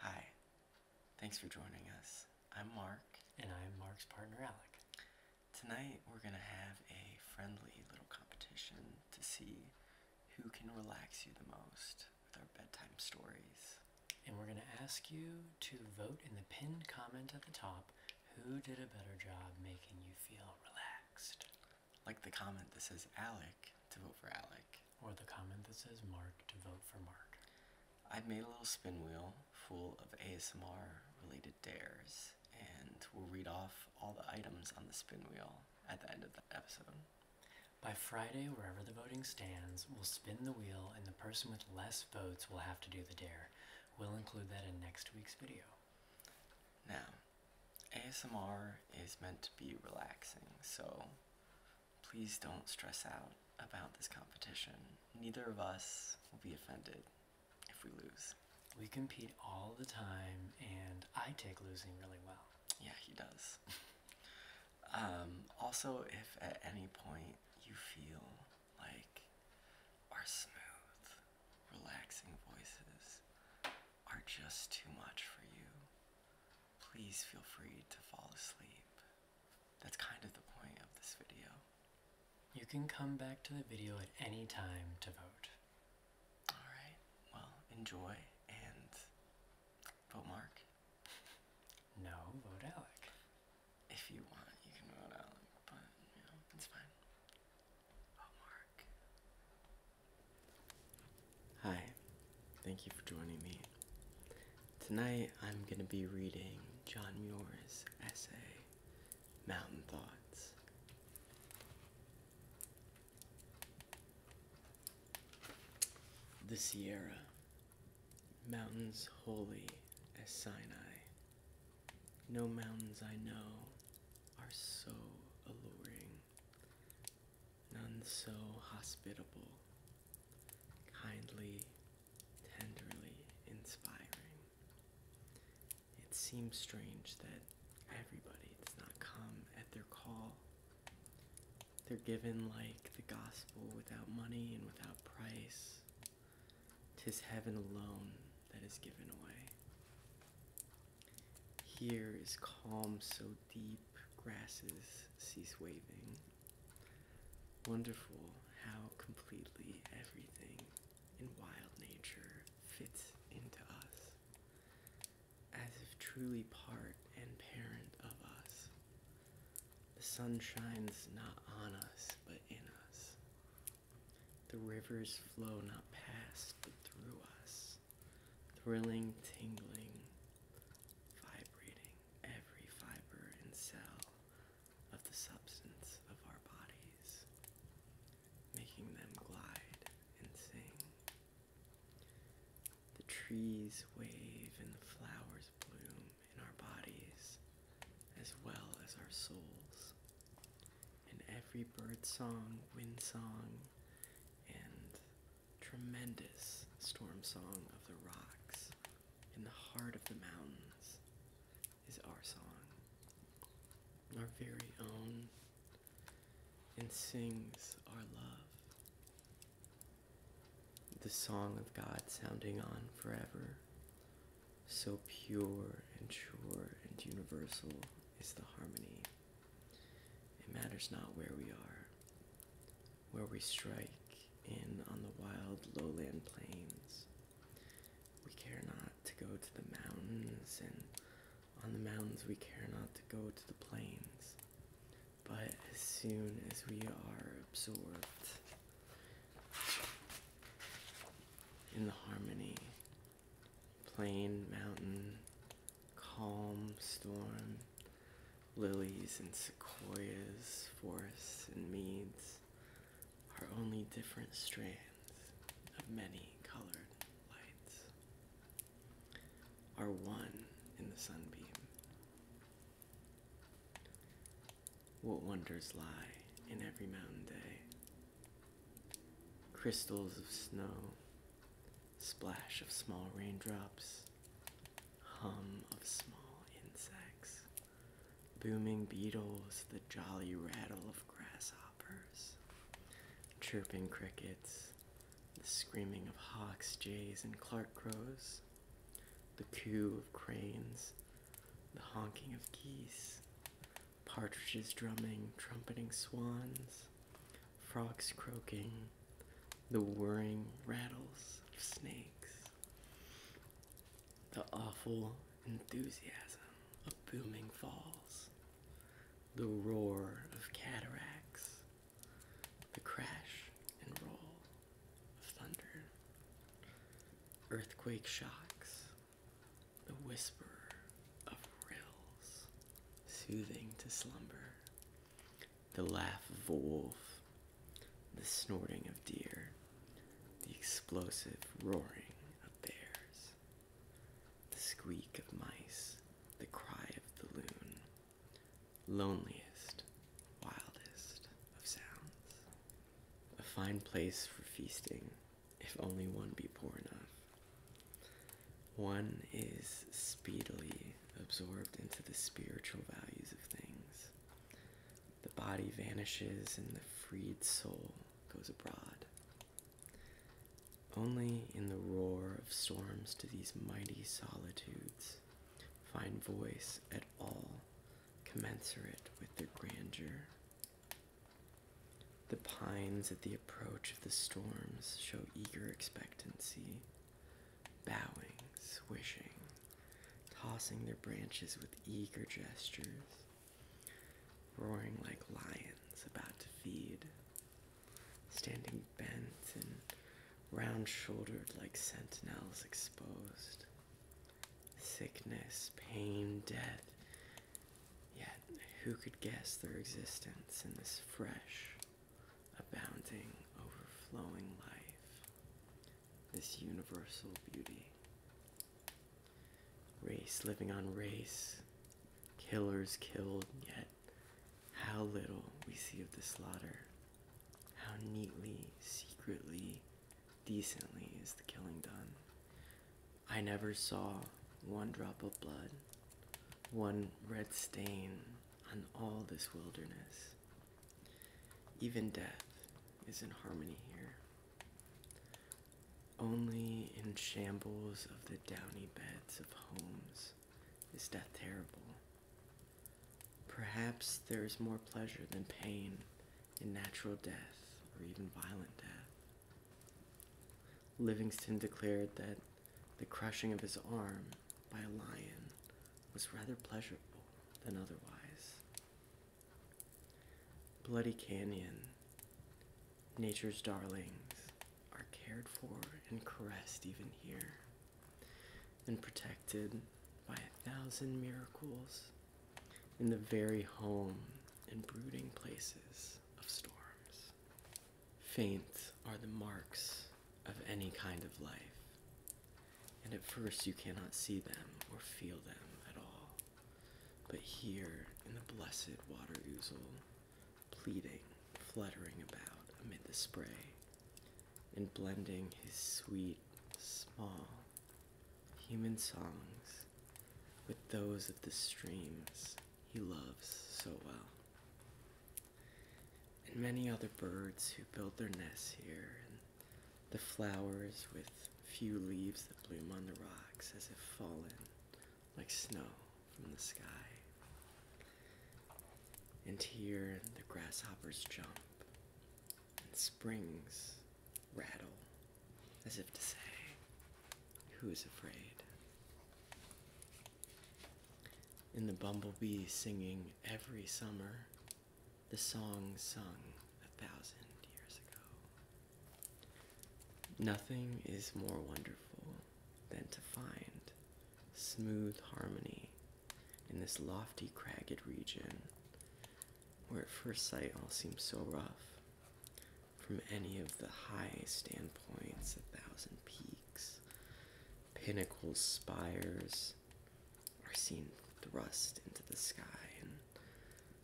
Hi, thanks for joining us. I'm Mark. And I'm Mark's partner, Alec. Tonight, we're going to have a friendly little competition to see who can relax you the most with our bedtime stories. And we're going to ask you to vote in the pinned comment at the top who did a better job making you feel relaxed relaxed. Like the comment that says Alec to vote for Alec. Or the comment that says Mark to vote for Mark. I've made a little spin wheel full of ASMR related dares, and we'll read off all the items on the spin wheel at the end of the episode. By Friday, wherever the voting stands, we'll spin the wheel and the person with less votes will have to do the dare. We'll include that in next week's video. Now, ASMR is meant to be relaxing, so please don't stress out about this competition. Neither of us will be offended if we lose. We compete all the time, and I take losing really well. Yeah, he does. Um, also, if at any point you feel like our smooth relaxing voices are just too much for you, please feel free to fall asleep. That's kind of the point of this video. You can come back to the video at any time to vote. Alright, well, enjoy and vote Mark. No, vote Alec. If you want, you can vote Alec, but, you know, it's fine. Oh, Hi, thank you for joining me. Tonight I'm going to be reading John Muir's essay, Mountain Thoughts. The Sierra, mountains holy as Sinai, no mountains I know are so alluring, none so hospitable, kindly, tenderly inspiring. It seems strange that everybody does not come at their call. They're given like the gospel without money and without price. 'Tis heaven alone that is given away. Here is calm so deep, grasses cease waving. Wonderful how completely everything in wild nature fits into us, as if truly part and parent of us. The sun shines not on us, but in us, the rivers flow not past, but through us, thrilling, tingling, vibrating every fiber and cell of the substance of our bodies, making them glide and sing. The trees wave and the flowers bloom in our bodies as well as our souls, and every bird song, wind song, and tremendous storm song of the rocks in the heart of the mountains is our song, our very own, and sings our love. The song of God sounding on forever so pure and sure and universal is the harmony. It matters not where we are, where we strike in on the wild lowland plains. We care not to go to the mountains, and on the mountains we care not to go to the plains. But as soon as we are absorbed in the harmony plain, mountain, calm, storm, lilies and sequoias, forests and meads are only different strands of many colored lights, are one in the sunbeam. What wonders lie in every mountain day? Crystals of snow, splash of small raindrops, hum of small insects, booming beetles, the jolly rattle of grasshoppers, chirping crickets, the screaming of hawks, jays, and Clark crows, the coo of cranes, the honking of geese, partridges drumming, trumpeting swans, frogs croaking, the whirring rattles of snakes, the awful enthusiasm of booming falls, the roar of cataracts, the crash and roll of thunder, earthquake shocks, the whisper of rills, soothing to slumber, the laugh of a wolf, the snorting of deer, the explosive roaring of bears, the squeak of mice, the cry of the loon, loneliest, wildest of sounds, a fine place for feasting if only one be poor enough. One is speedily absorbed into the spiritual values of things. The body vanishes and the freed soul goes abroad. Only in the roar of storms do these mighty solitudes find voice at all commensurate with their grandeur. The pines at the approach of the storms show eager expectancy, bowing, swishing, tossing their branches with eager gestures, roaring like lions about to feed, standing bent and round shouldered like sentinels exposed. Sickness, pain, death, Yet, who could guess their existence in this fresh, abounding, overflowing life, this universal beauty? Race living on race, killers killed, yet how little we see of the slaughter. How neatly, secretly, decently is the killing done. I never saw one drop of blood, one red stain on all this wilderness. Even death is in harmony here. Only in shambles of the downy beds of homes is death terrible. Perhaps there is more pleasure than pain and natural death or even violent death. Livingston declared that the crushing of his arm by a lion was rather pleasurable than otherwise. Bloody Canyon, nature's darlings, are cared for and caressed even here, and protected by a thousand miracles in the very home and brooding places of storms. Faint are the marks of any kind of life, and at first you cannot see them or feel them at all. But here in the blessed water ouzel, pleading, fluttering about amid the spray, and blending his sweet, small, human songs with those of the streams he loves so well, and many other birds who build their nests here, and the flowers with few leaves that bloom on the rocks as if fallen like snow from the sky. And here the grasshoppers jump and springs rattle as if to say, Who's afraid? In the bumblebee singing every summer, the song sung a thousand years ago. Nothing is more wonderful than to find smooth harmony in this lofty, cragged region where at first sight all seems so rough. From any of the high standpoints, a thousand peaks, pinnacles, spires are seen thrust into the sky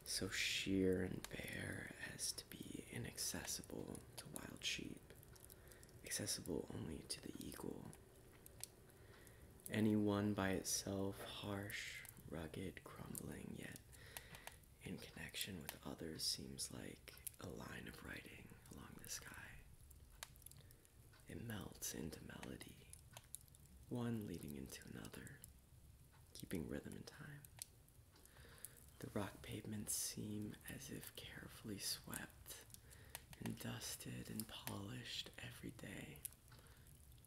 so sheer and bare as to be inaccessible to wild sheep, accessible only to the eagle. Any one by itself, harsh rugged, crumbling, yet in connection with others seems like a line of writing along the sky. It melts into melody, one leading into another, keeping rhythm and time. The rock pavements seem as if carefully swept and dusted and polished every day.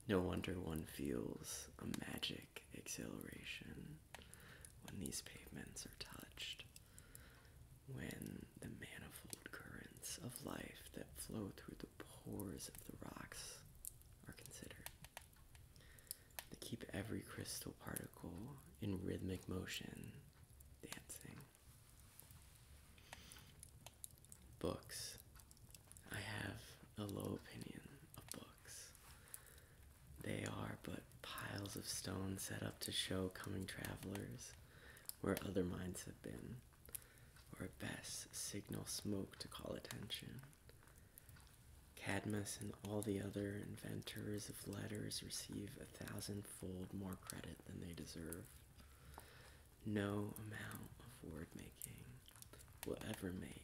No wonder one feels a magic exhilaration when these pavements are touched, when the manifold currents of life that flow through the pores of the rocks are considered. They keep every crystal particle in rhythmic motion, dancing books. I have a low opinion of books. They are but piles of stone set up to show coming travelers where other minds have been, or at best signal smoke to call attention. Cadmus and all the other inventors of letters receive a thousandfold more credit than they deserve. No amount of word making will ever make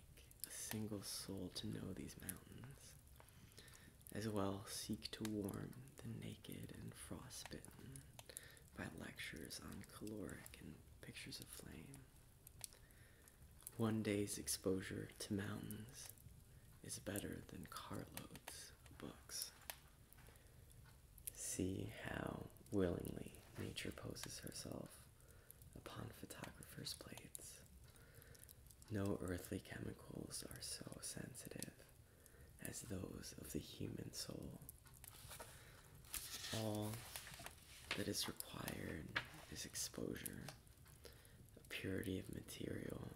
a single soul to know these mountains. As well, seek to warm the naked and frostbitten by lectures on caloric and pictures of flame. One day's exposure to mountains is better than carloads of books. See how willingly nature poses herself upon photographers' plates. No earthly chemicals are so sensitive as those of the human soul. All that is required is exposure, purity of material.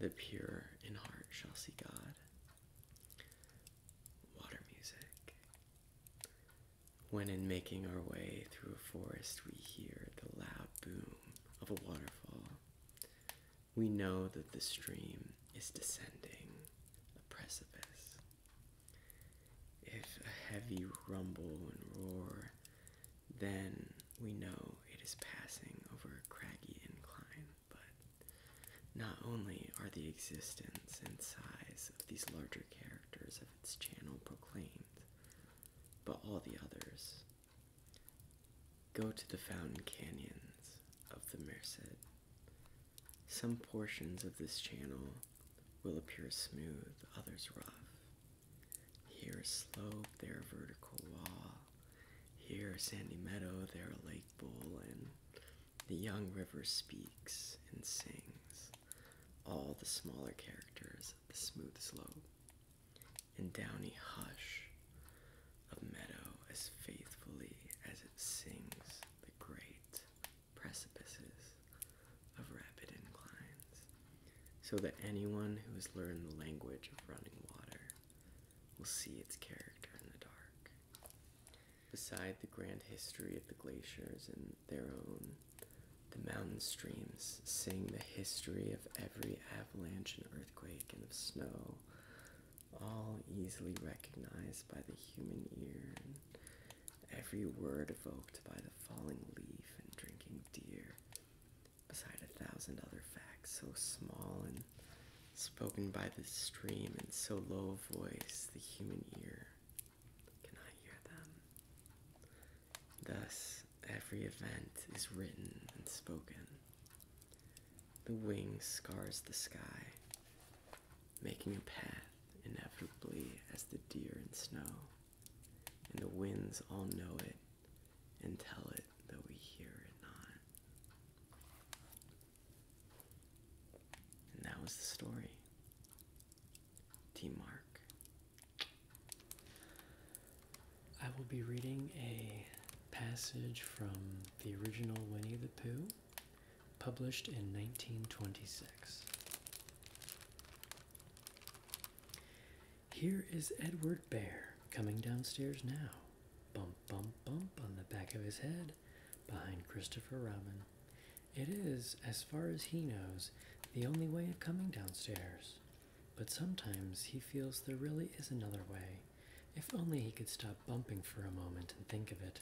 The pure in heart shall see God. Water music. When in making our way through a forest, we hear the loud boom of a waterfall. We know that the stream is descending a precipice. If a heavy rumble and roar, then we know it is passing over a craggy incline. But not only are the existence and size of these larger characters of its channel proclaimed, but all the others. Go to the fountain canyons of the Merced. Some portions of this channel will appear smooth, others rough. Here a slope, there a vertical wall. Here a sandy meadow, there a lake bowl, and the young river speaks and sings, all the smaller characters of the smooth slope, and downy hush of meadow as faithfully as it sings the great precipices of rapid inclines, so that anyone who has learned the language of running water will see its character in the dark beside the grand history of the glaciers and their own, the mountain streams sing the history of every avalanche and earthquake and of snow, all easily recognized by the human ear, every word evoked by the falling leaf and drinking deer, beside a thousand other facts so small and spoken by the stream in so low a voice the human ear cannot hear them. Thus, every event is written and spoken. The wing scars the sky, making a path inevitably as the deer in snow. And the winds all know it and tell it, though we hear it not. And that was the story. T Mark. I will be reading a passage from the original Winnie the Pooh, published in 1926. Here is Edward Bear coming downstairs now. Bump, bump, bump on the back of his head behind Christopher Robin. It is, as far as he knows, the only way of coming downstairs. But sometimes he feels there really is another way. If only he could stop bumping for a moment and think of it.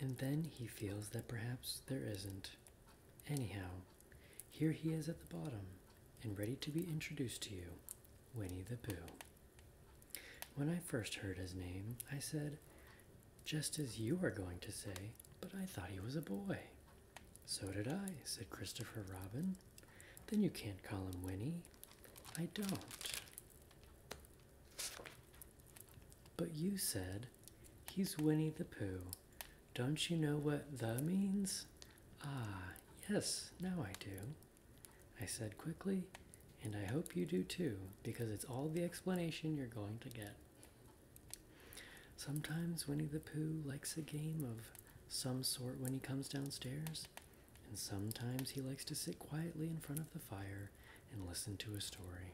And then he feels that perhaps there isn't. Anyhow, here he is at the bottom and ready to be introduced to you, Winnie the Pooh. When I first heard his name, I said, just as you are going to say, but I thought he was a boy. So did I, said Christopher Robin. Then you can't call him Winnie. I don't. But you said, he's Winnie the Pooh. Don't you know what the means? Ah, yes, now I do. I said quickly, and I hope you do too, because it's all the explanation you're going to get. Sometimes Winnie the Pooh likes a game of some sort when he comes downstairs, and sometimes he likes to sit quietly in front of the fire and listen to a story.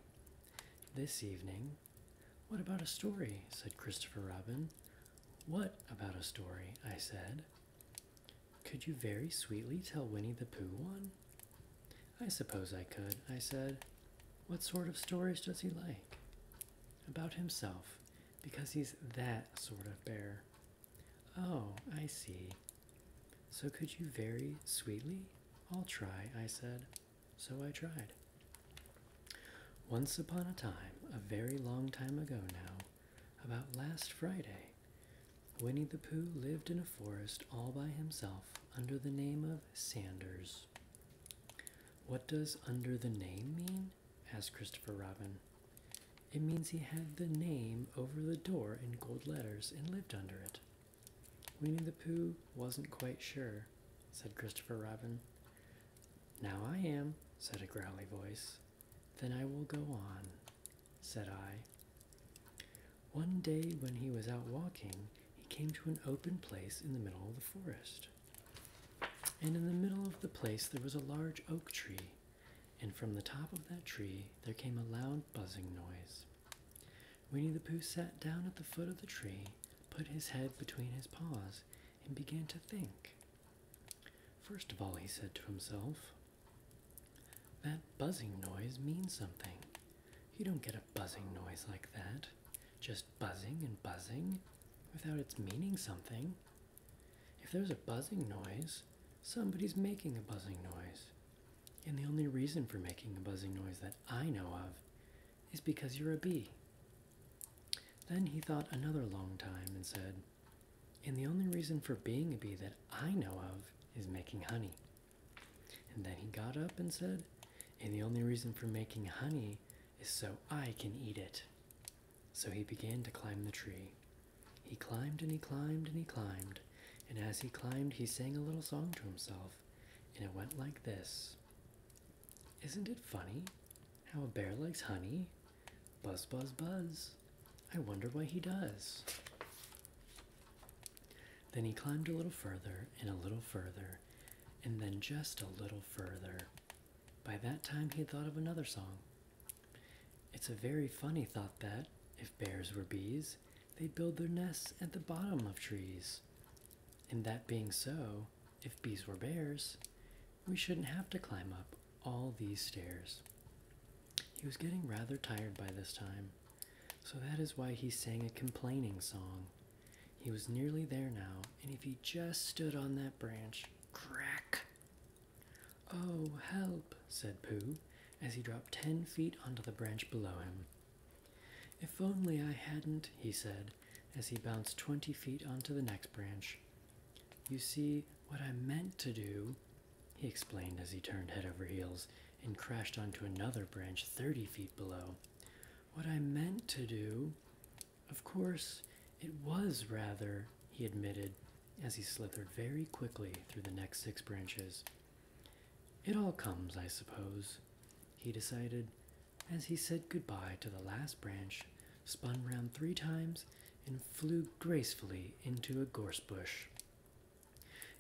This evening, what about a story? said Christopher Robin. What about a story? I said. Could you very sweetly tell Winnie the Pooh one? I suppose I could, I said. What sort of stories does he like? About himself, because he's that sort of bear. Oh, I see. So could you very sweetly? I'll try, I said. So I tried. Once upon a time, a very long time ago now, about last Friday, Winnie the Pooh lived in a forest all by himself under the name of Sanders. What does under the name mean? asked Christopher Robin. It means he had the name over the door in gold letters and lived under it. Winnie the Pooh wasn't quite sure, said Christopher Robin. Now I am, said a growly voice. Then I will go on, said I. One day when he was out walking, he came to an open place in the middle of the forest. And in the middle of the place there was a large oak tree, and from the top of that tree there came a loud buzzing noise. Winnie the Pooh sat down at the foot of the tree, put his head between his paws, and began to think. First of all, he said to himself, that buzzing noise means something. You don't get a buzzing noise like that. Just buzzing and buzzing without its meaning something. If there's a buzzing noise, somebody's making a buzzing noise. And the only reason for making a buzzing noise that I know of is because you're a bee. Then he thought another long time and said, And the only reason for being a bee that I know of is making honey. And then he got up and said, And the only reason for making honey is so I can eat it. So he began to climb the tree. He climbed and he climbed and he climbed, and as he climbed, he sang a little song to himself, and it went like this Isn't it funny how a bear likes honey? Buzz, buzz, buzz. I wonder why he does. Then he climbed a little further and a little further and then just a little further. By that time, he had thought of another song. It's a very funny thought that, if bears were bees, they'd build their nests at the bottom of trees. And that being so, if bees were bears, we shouldn't have to climb up all these stairs. He was getting rather tired by this time. So that is why he sang a complaining song. He was nearly there now, and if he just stood on that branch, crack! Oh, help, said Pooh, as he dropped ten feet onto the branch below him. If only I hadn't, he said, as he bounced twenty feet onto the next branch. You see, what I meant to do, he explained as he turned head over heels and crashed onto another branch thirty feet below. What I meant to do. Of course, it was rather, he admitted as he slithered very quickly through the next six branches. It all comes, I suppose, he decided as he said good-bye to the last branch, spun round three times, and flew gracefully into a gorse bush.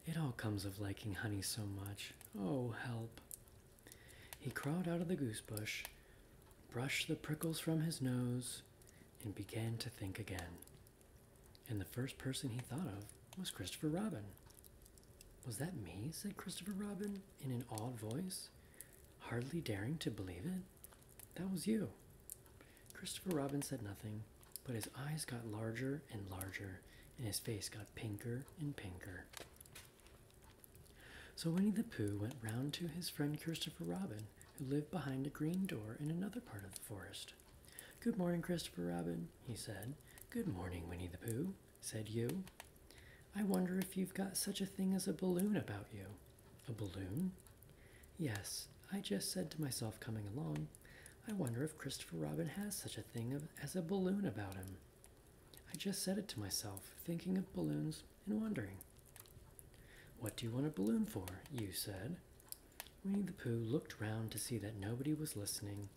It all comes of liking honey so much. Oh, help. He crawled out of the goose bush, brushed the prickles from his nose, and began to think again. And the first person he thought of was Christopher Robin. Was that me? said Christopher Robin in an awed voice, hardly daring to believe it. That was you. Christopher Robin said nothing, but his eyes got larger and larger, and his face got pinker and pinker. So Winnie the Pooh went round to his friend Christopher Robin, who lived behind a green door in another part of the forest. Good morning, Christopher Robin, he said. Good morning, Winnie the Pooh, said you. I wonder if you've got such a thing as a balloon about you. A balloon? Yes, I just said to myself coming along, I wonder if Christopher Robin has such a thing as a balloon about him. I just said it to myself, thinking of balloons and wondering. What do you want a balloon for? you said. Winnie the Pooh looked round to see that nobody was listening,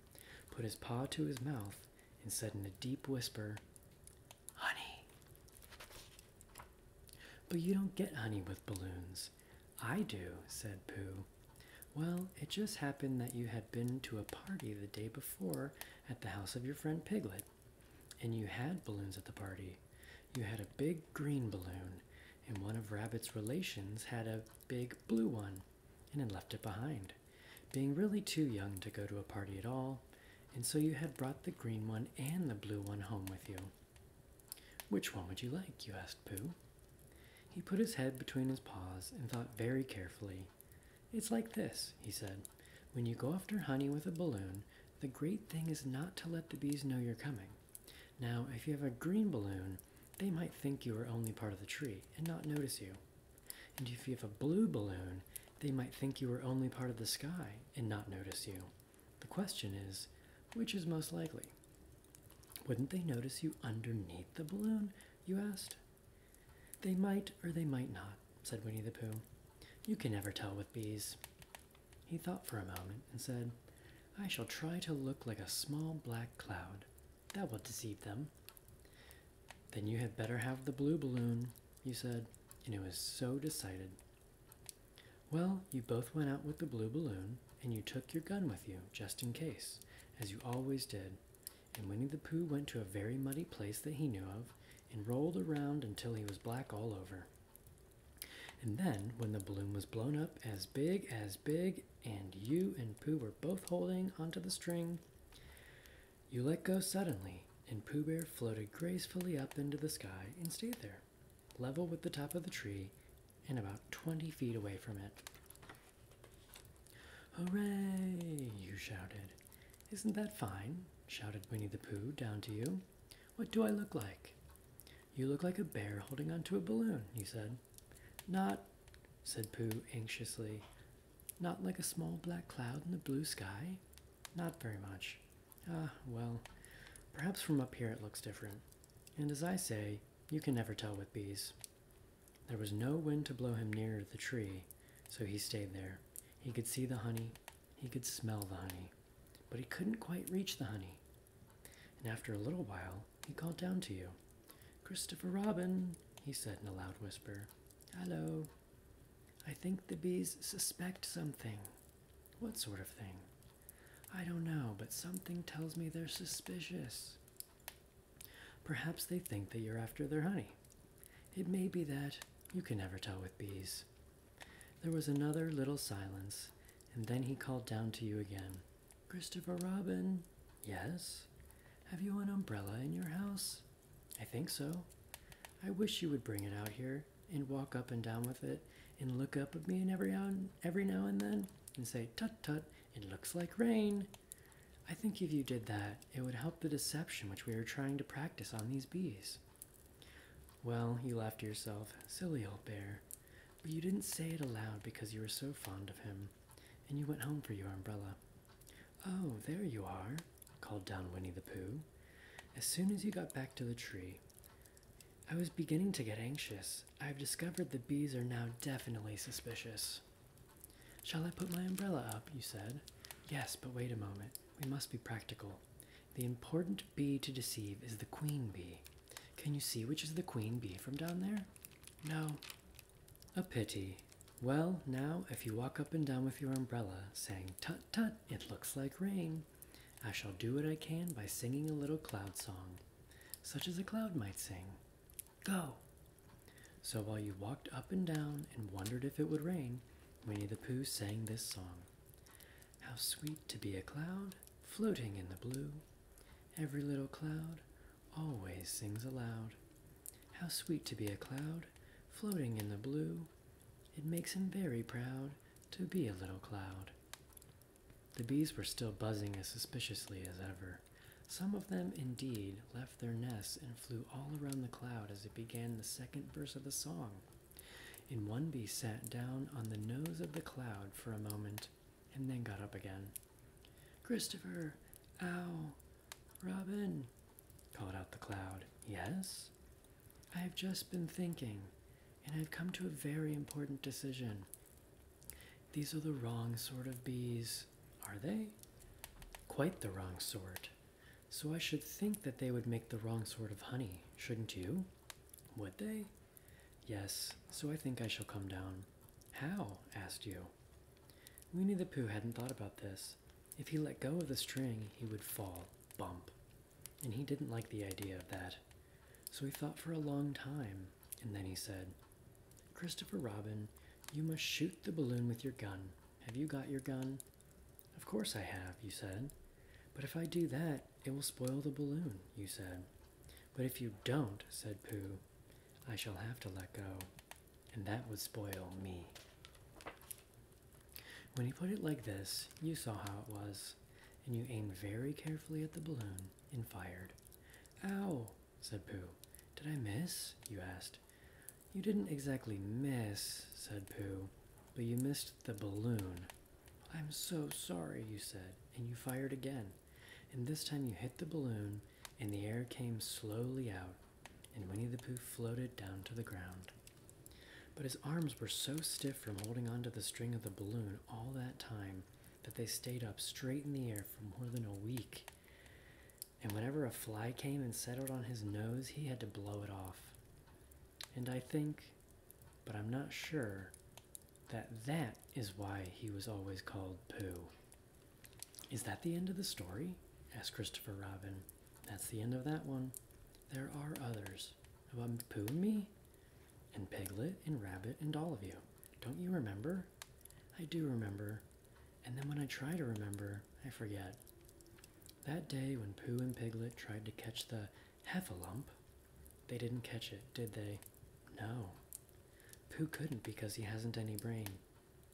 put his paw to his mouth, and said in a deep whisper, Honey. But you don't get honey with balloons. I do, said Pooh. Well, it just happened that you had been to a party the day before at the house of your friend Piglet, and you had balloons at the party. You had a big green balloon, and one of Rabbit's relations had a big blue one and had left it behind, being really too young to go to a party at all, and so you had brought the green one and the blue one home with you. Which one would you like? you asked Pooh. He put his head between his paws and thought very carefully. It's like this, he said. When you go after honey with a balloon, the great thing is not to let the bees know you're coming. Now, if you have a green balloon, they might think you are only part of the tree and not notice you. And if you have a blue balloon, they might think you are only part of the sky and not notice you. The question is, which is most likely? Wouldn't they notice you underneath the balloon? you asked. They might or they might not, said Winnie the Pooh. You can never tell with bees. He thought for a moment and said, I shall try to look like a small black cloud. That will deceive them. Then you had better have the blue balloon, you said, and it was so decided. Well, you both went out with the blue balloon, and you took your gun with you, just in case, as you always did. And Winnie the Pooh went to a very muddy place that he knew of, and rolled around until he was black all over. And then, when the balloon was blown up as big as big, and you and Pooh were both holding onto the string, you let go suddenly, and Pooh Bear floated gracefully up into the sky and stayed there level with the top of the tree and about 20 feet away from it. Hooray! you shouted. Isn't that fine? shouted Winnie the Pooh down to you. What do I look like? You look like a bear holding onto a balloon, he said. Not, said Pooh anxiously, not like a small black cloud in the blue sky? Not very much. Ah, well, perhaps from up here it looks different. And as I say, you can never tell with bees. There was no wind to blow him nearer the tree, so he stayed there. He could see the honey, he could smell the honey, but he couldn't quite reach the honey. And after a little while, he called down to you. Christopher Robin, he said in a loud whisper. Hello. I think the bees suspect something. What sort of thing? I don't know, but something tells me they're suspicious. Perhaps they think that you're after their honey. It may be that you can never tell with bees. There was another little silence, and then he called down to you again. Christopher Robin, yes? Have you an umbrella in your house? I think so. I wish you would bring it out here and walk up and down with it and look up at me and every now and, every now and then and say, tut tut, it looks like rain. I think if you did that, it would help the deception which we are trying to practice on these bees. Well, you laughed to yourself, silly old bear, but you didn't say it aloud because you were so fond of him, and you went home for your umbrella. Oh, there you are, called down Winnie the Pooh. As soon as you got back to the tree, I was beginning to get anxious. I've discovered the bees are now definitely suspicious. Shall I put my umbrella up? You said. Yes, but wait a moment. We must be practical. The important bee to deceive is the queen bee. Can you see which is the queen bee from down there? No. A pity. Well, now, if you walk up and down with your umbrella, saying, Tut tut, it looks like rain, I shall do what I can by singing a little cloud song such as a cloud might sing. Go! So while you walked up and down and wondered if it would rain, Winnie the Pooh sang this song How sweet to be a cloud, floating in the blue. Every little cloud always sings aloud. How sweet to be a cloud, floating in the blue. It makes him very proud to be a little cloud. The bees were still buzzing as suspiciously as ever. Some of them, indeed, left their nests and flew all around the cloud as it began the second verse of the song. And one bee sat down on the nose of the cloud for a moment and then got up again. Christopher, ow, Robin, called out the cloud. Yes? I've just been thinking, and I've come to a very important decision. These are the wrong sort of bees, are they? Quite the wrong sort. So I should think that they would make the wrong sort of honey, shouldn't you? Would they? Yes, so I think I shall come down. How? asked you. Winnie the Pooh hadn't thought about this. If he let go of the string, he would fall, bump. And he didn't like the idea of that. So he thought for a long time, and then he said, Christopher Robin, you must shoot the balloon with your gun. Have you got your gun? Of course I have, you said. But if I do that, it will spoil the balloon, you said. But if you don't, said Pooh, I shall have to let go, and that would spoil me. When he put it like this, you saw how it was, and you aimed very carefully at the balloon, and fired. Ow, said Pooh. Did I miss? you asked. You didn't exactly miss, said Pooh, but you missed the balloon. I'm so sorry, you said, and you fired again. And this time you hit the balloon, and the air came slowly out, and Winnie the Pooh floated down to the ground. But his arms were so stiff from holding onto the string of the balloon all that time but they stayed up straight in the air for more than a week. And whenever a fly came and settled on his nose, he had to blow it off. And I think, but I'm not sure, that that is why he was always called Pooh. Is that the end of the story? asked Christopher Robin. That's the end of that one. There are others about Pooh and me, and Piglet and Rabbit and all of you. Don't you remember? I do remember. And then when I try to remember, I forget. That day when Pooh and Piglet tried to catch the heffalump, they didn't catch it, did they? No. Pooh couldn't because he hasn't any brain.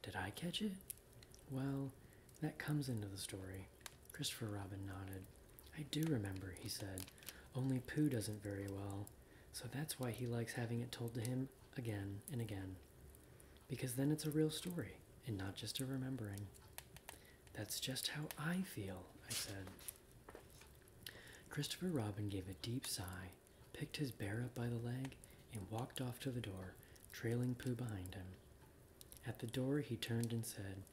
Did I catch it? Well, that comes into the story. Christopher Robin nodded. I do remember, he said, only Pooh doesn't very well, so that's why he likes having it told to him again and again. Because then it's a real story and not just a remembering. That's just how I feel, I said. Christopher Robin gave a deep sigh, picked his bear up by the leg, and walked off to the door, trailing Pooh behind him. At the door, he turned and said,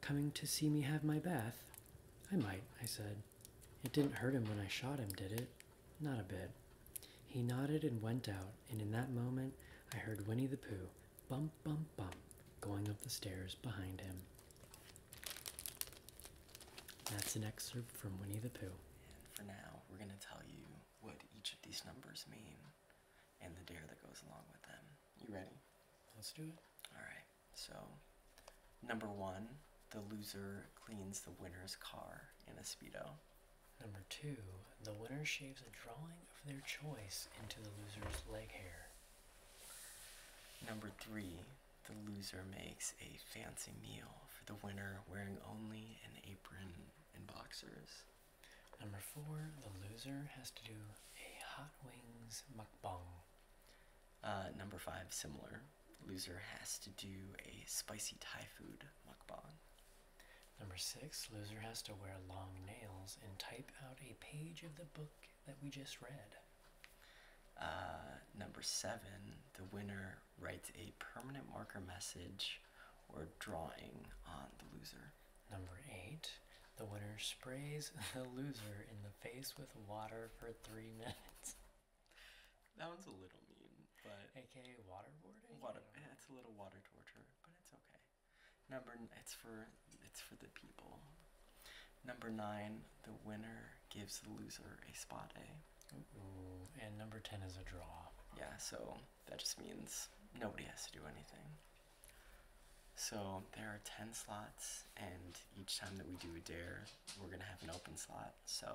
Coming to see me have my bath? I might, I said. It didn't hurt him when I shot him, did it? Not a bit. He nodded and went out, and in that moment I heard Winnie the Pooh bump, bump, bump going up the stairs behind him. That's an excerpt from Winnie the Pooh. And for now, we're going to tell you what each of these numbers mean and the dare that goes along with them. You ready? Let's do it. All right. So, number one, the loser cleans the winner's car in a Speedo. Number two, the winner shaves a drawing of their choice into the loser's leg hair. Number three, the loser makes a fancy meal for the winner wearing only an apron and boxers. Number four, the loser has to do a hot wings mukbang. Uh, number five, similar. Loser has to do a spicy Thai food mukbang. Number six, loser has to wear long nails and type out a page of the book that we just read. Uh, number seven, the winner writes a permanent marker message or drawing on the loser. Number eight, the winner sprays the loser in the face with water for three minutes. That one's a little mean, but aka waterboarding. Water, yeah, it's a little water torture, but it's okay. Number, it's for it's for the people. Number nine, the winner gives the loser a spot A. Ooh, and number ten is a draw. Yeah, so that just means nobody has to do anything. So there are 10 slots, and each time that we do a dare, we're going to have an open slot. So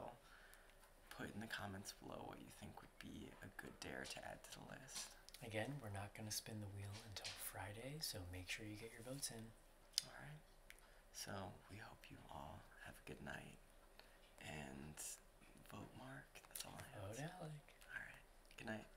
put in the comments below what you think would be a good dare to add to the list. Again, we're not going to spin the wheel until Friday, so make sure you get your votes in. All right. So we hope you all have a good night. And vote Mark. That's all I have. Vote Alec. All right. Good night.